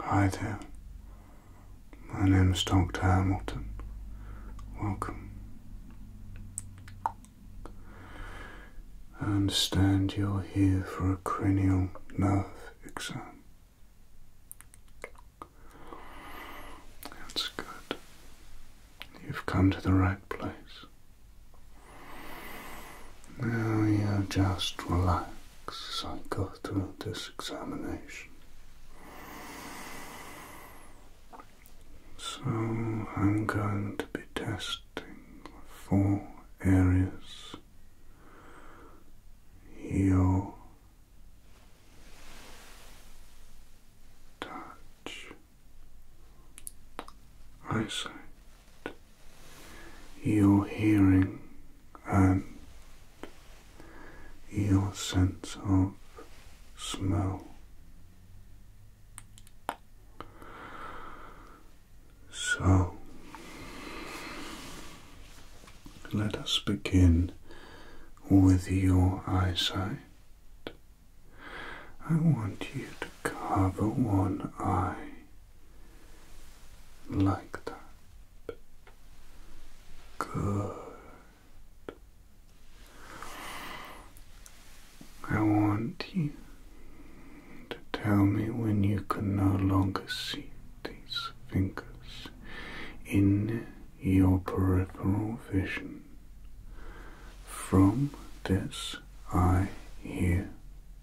Hi there. My name is Dr. Hamilton. Welcome. I understand you're here for a cranial nerve exam. That's good. You've come to the right place. Now you just relax as I go through this examination. So I'm going to be testing four areas your touch, eyesight, your hearing and your sense of smell. So let us begin with your eyesight. I want you to cover one eye like that. Good. I want you to tell me when you can no longer see these fingers in your peripheral vision from this eye here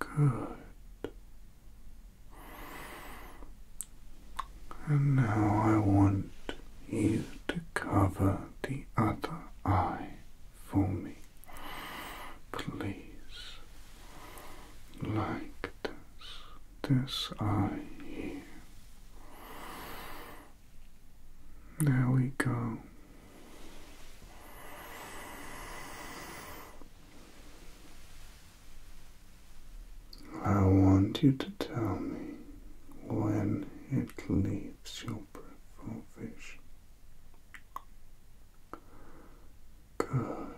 Good. And now I want you to cover the other eye for me, please. Like this, this eye here. There we go. I want you to tell me when it leaves your peripheral vision. Good.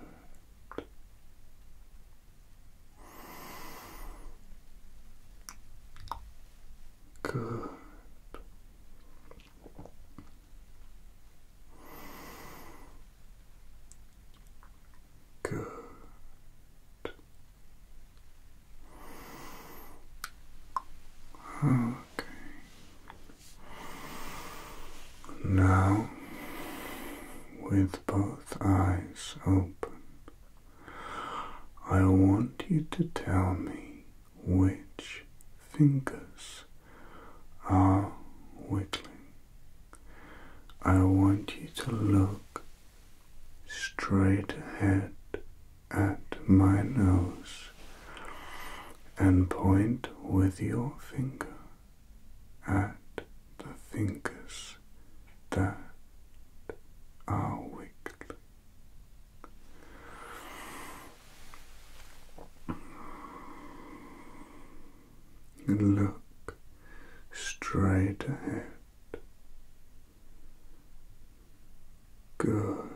Good. Good. Okay. Now, with both eyes open, I want you to tell me which fingers are wiggling. I want you to look straight ahead at my nose and point with your finger at the fingers that are wiggling. And look straight ahead. Good.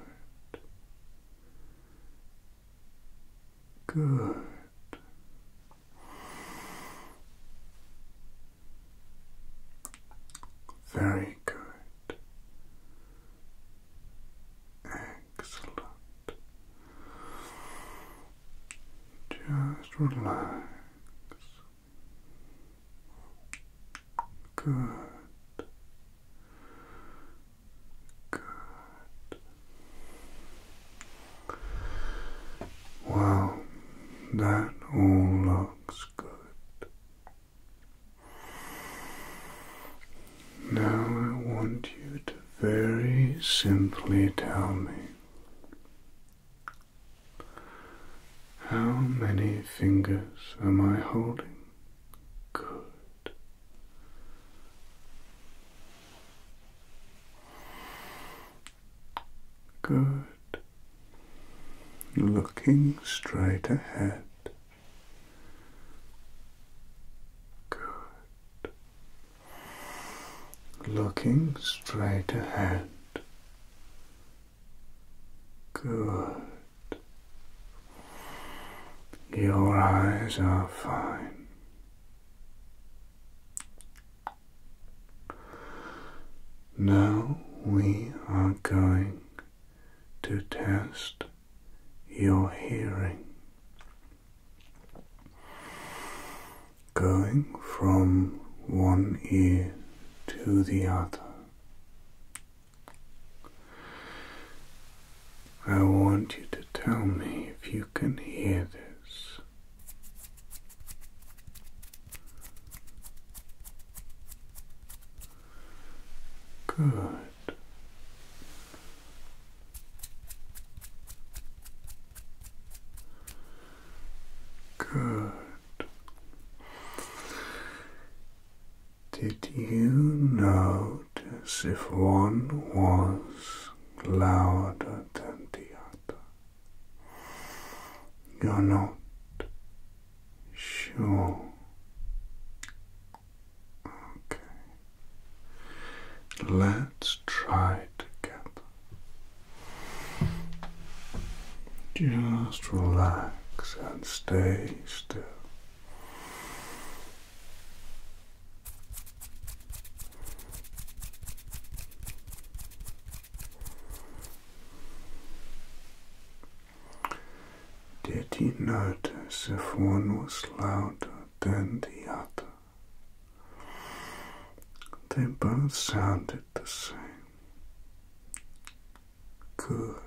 Good. Very good. Excellent. Just relax. Good. Good. Well, that all looks good. Now I want you to very simply tell me how many fingers am I holding? Good. Good looking straight ahead. Good. Looking straight ahead. Good. Your eyes are fine. Now we are going to test your hearing. Going from one ear to the other, I want you to tell me if you can hear this. Good. Good. Did you notice if one was louder than the other? You're not Sure. Okay. Let's try together. Just relax and stay still. Did you notice if one was louder than the other? They both sounded the same. Good.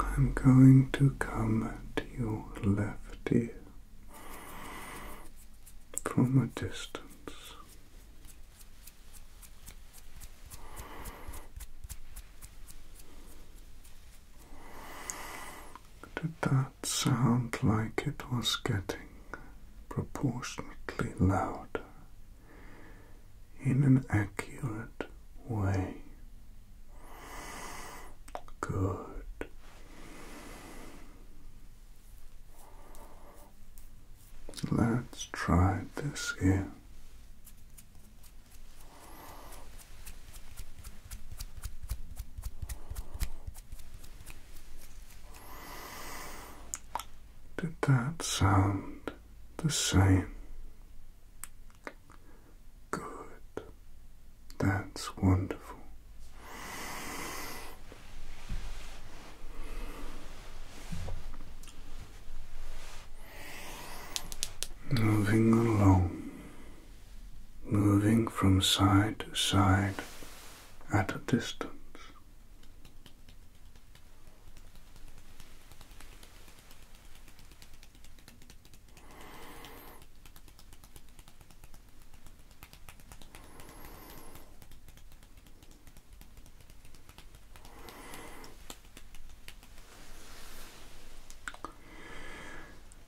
I'm going to come to your left ear from a distance. Did that sound like it was getting proportionately louder in an accurate way? Good let's try this here. Did that sound the same? Good. That's wonderful. Moving along, moving from side to side at a distance.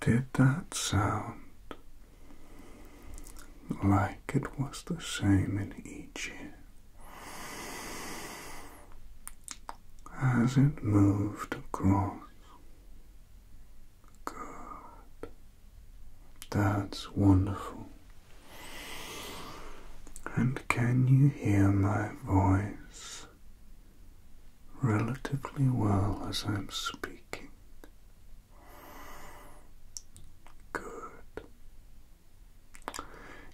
Did that sound like it was the same in each ear as it moved across? Good. That's wonderful. And can you hear my voice relatively well as I'm speaking? Good.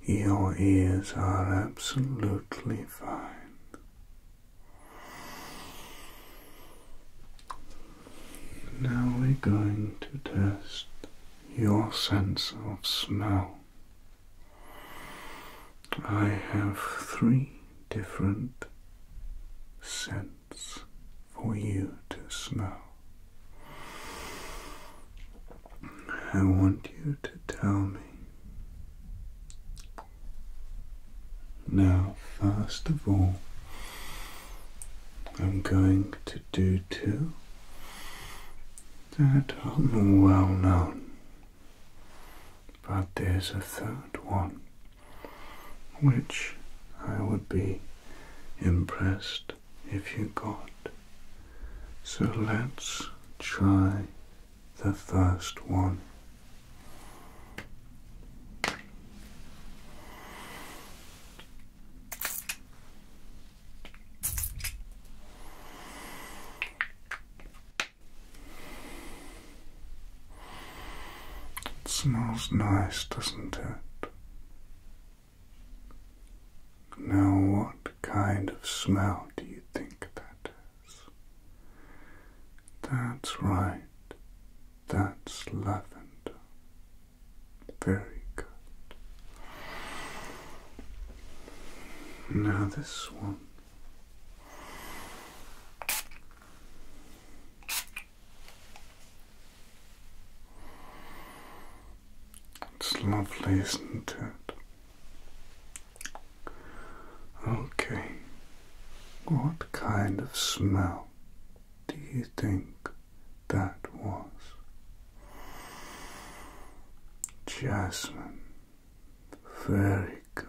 Your ears are absolutely fine. Now we're going to test your sense of smell. I have three different scents for you to smell. I want you to tell me. Now, first of all, I'm going to do two that are well known, but there's a third one which I would be impressed if you got. So let's try the first one. It smells nice, doesn't it? Now, what kind of smell do you think that is? That's right, that's lavender. Very good. Now, this one. It's lovely, isn't it? Okay, what kind of smell do you think that was. Jasmine, very good.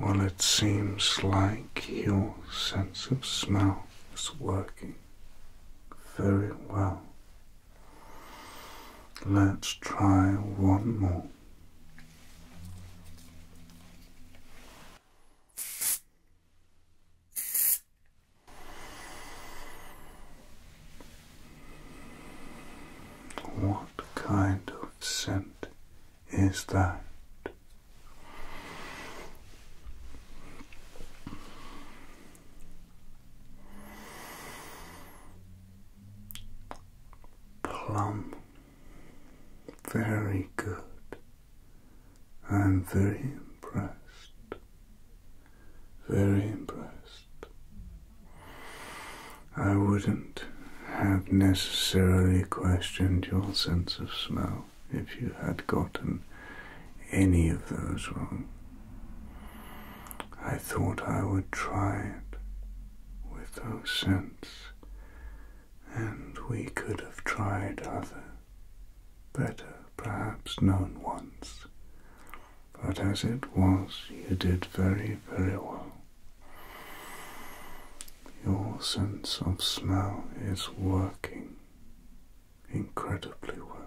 Well, it seems like your sense of smell is working very well. Let's try one more. What kind of scent is that? Plum very good. I'm very impressed. Very impressed. I wouldn't have necessarily questioned your sense of smell if you had gotten any of those wrong. I thought I would try it with those scents and we could have tried other, better, perhaps known ones. But as it was, you did very, very well. Your sense of smell is working incredibly well,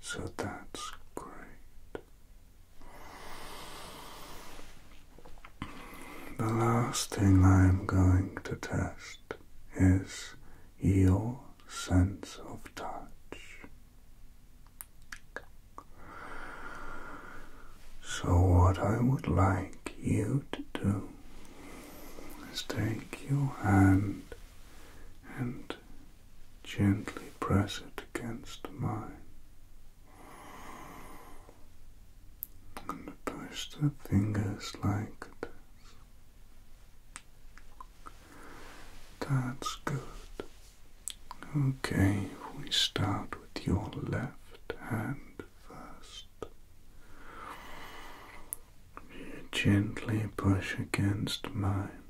so that's great. The last thing I am going to test is your sense of touch. So, what I would like you to do is take your hand and gently press it against mine. I'm going to push the fingers like this. That's good. Okay, we start with your left hand first. You gently push against mine.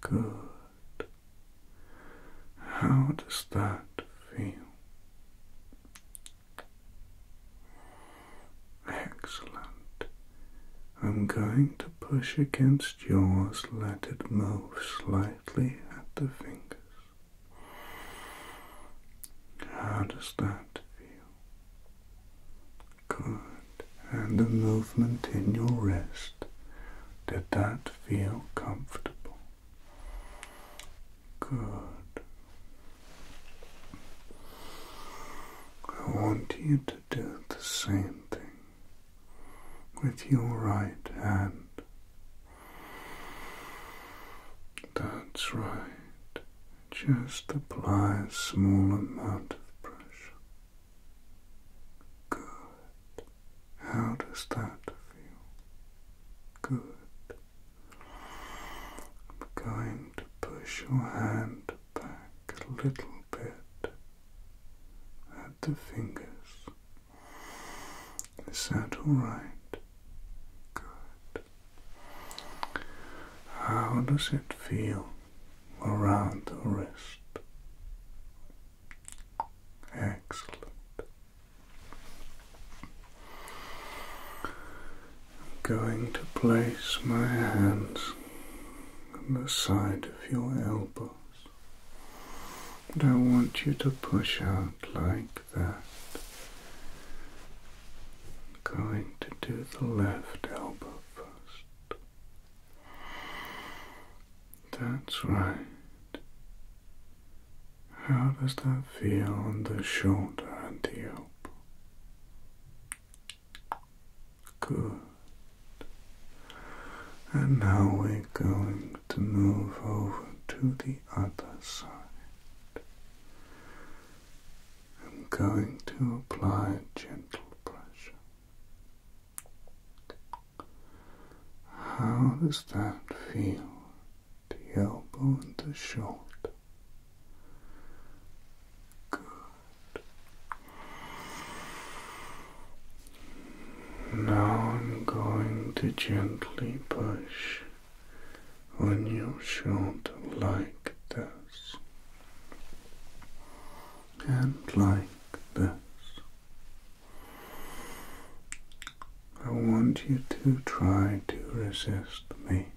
Good. How does that feel? Excellent. I'm going to push against yours, let it move slightly at the fingers. How does that feel? Good. And the movement in your wrist. Did that feel comfortable? Good. I want you to do the same thing with your right hand. That's right. Just apply a small amount of pressure. Good. How does that feel? Good. I'm going to push your hand back a little bit at the fingers. Is that alright? Good. How does it feel around the wrist? Excellent. I'm going to place my hands on the side of your elbows. And I want you to push out like that. I'm going to do the left elbow first. That's right. How does that feel on the shoulder and the elbow? Good. And now we're going to move over to the other side. I'm going to apply gentle pressure. How does that feel the elbow and the shoulder. Good. Now I'm going to gently push on your shoulder like this and like this I want you to try to resist me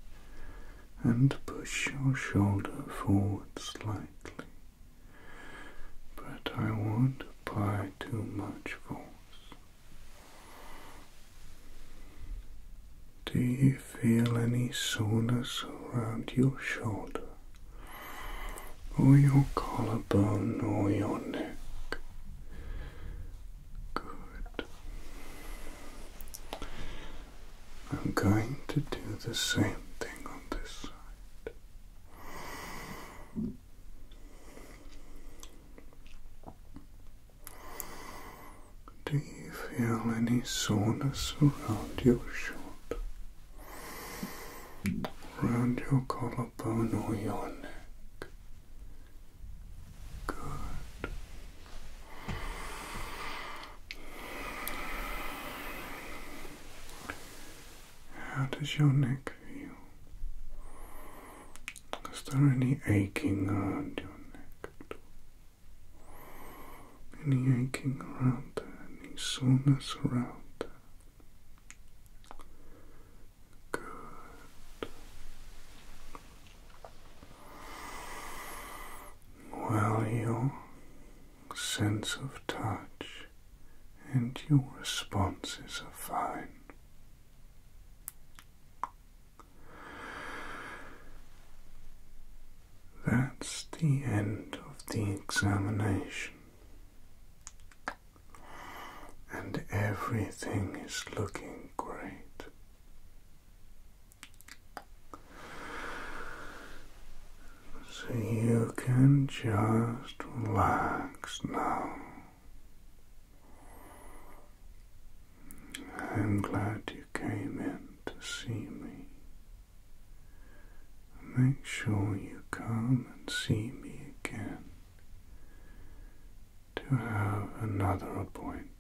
and push your shoulder forward slightly. But I won't apply too much force. Do you feel any soreness around your shoulder, or your collarbone, or your neck? Good. I'm going to do the same thing on this side. Do you feel any soreness around your shoulder, around your collarbone or your neck? Good. How does your neck feel? Is there any aching around your neck Any aching around Any soreness around Good. Well, your sense of touch and your responses are fine. That's the end of the examination, and everything is looking great. So you can just relax now. I'm glad you came in to see me. Make sure you come and see me again to have another appointment.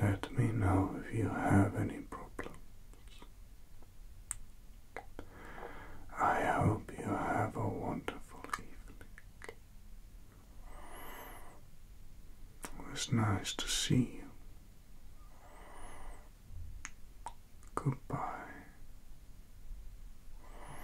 Let me know if you have any problems. I hope you have a wonderful evening. It was nice to see you. Goodbye.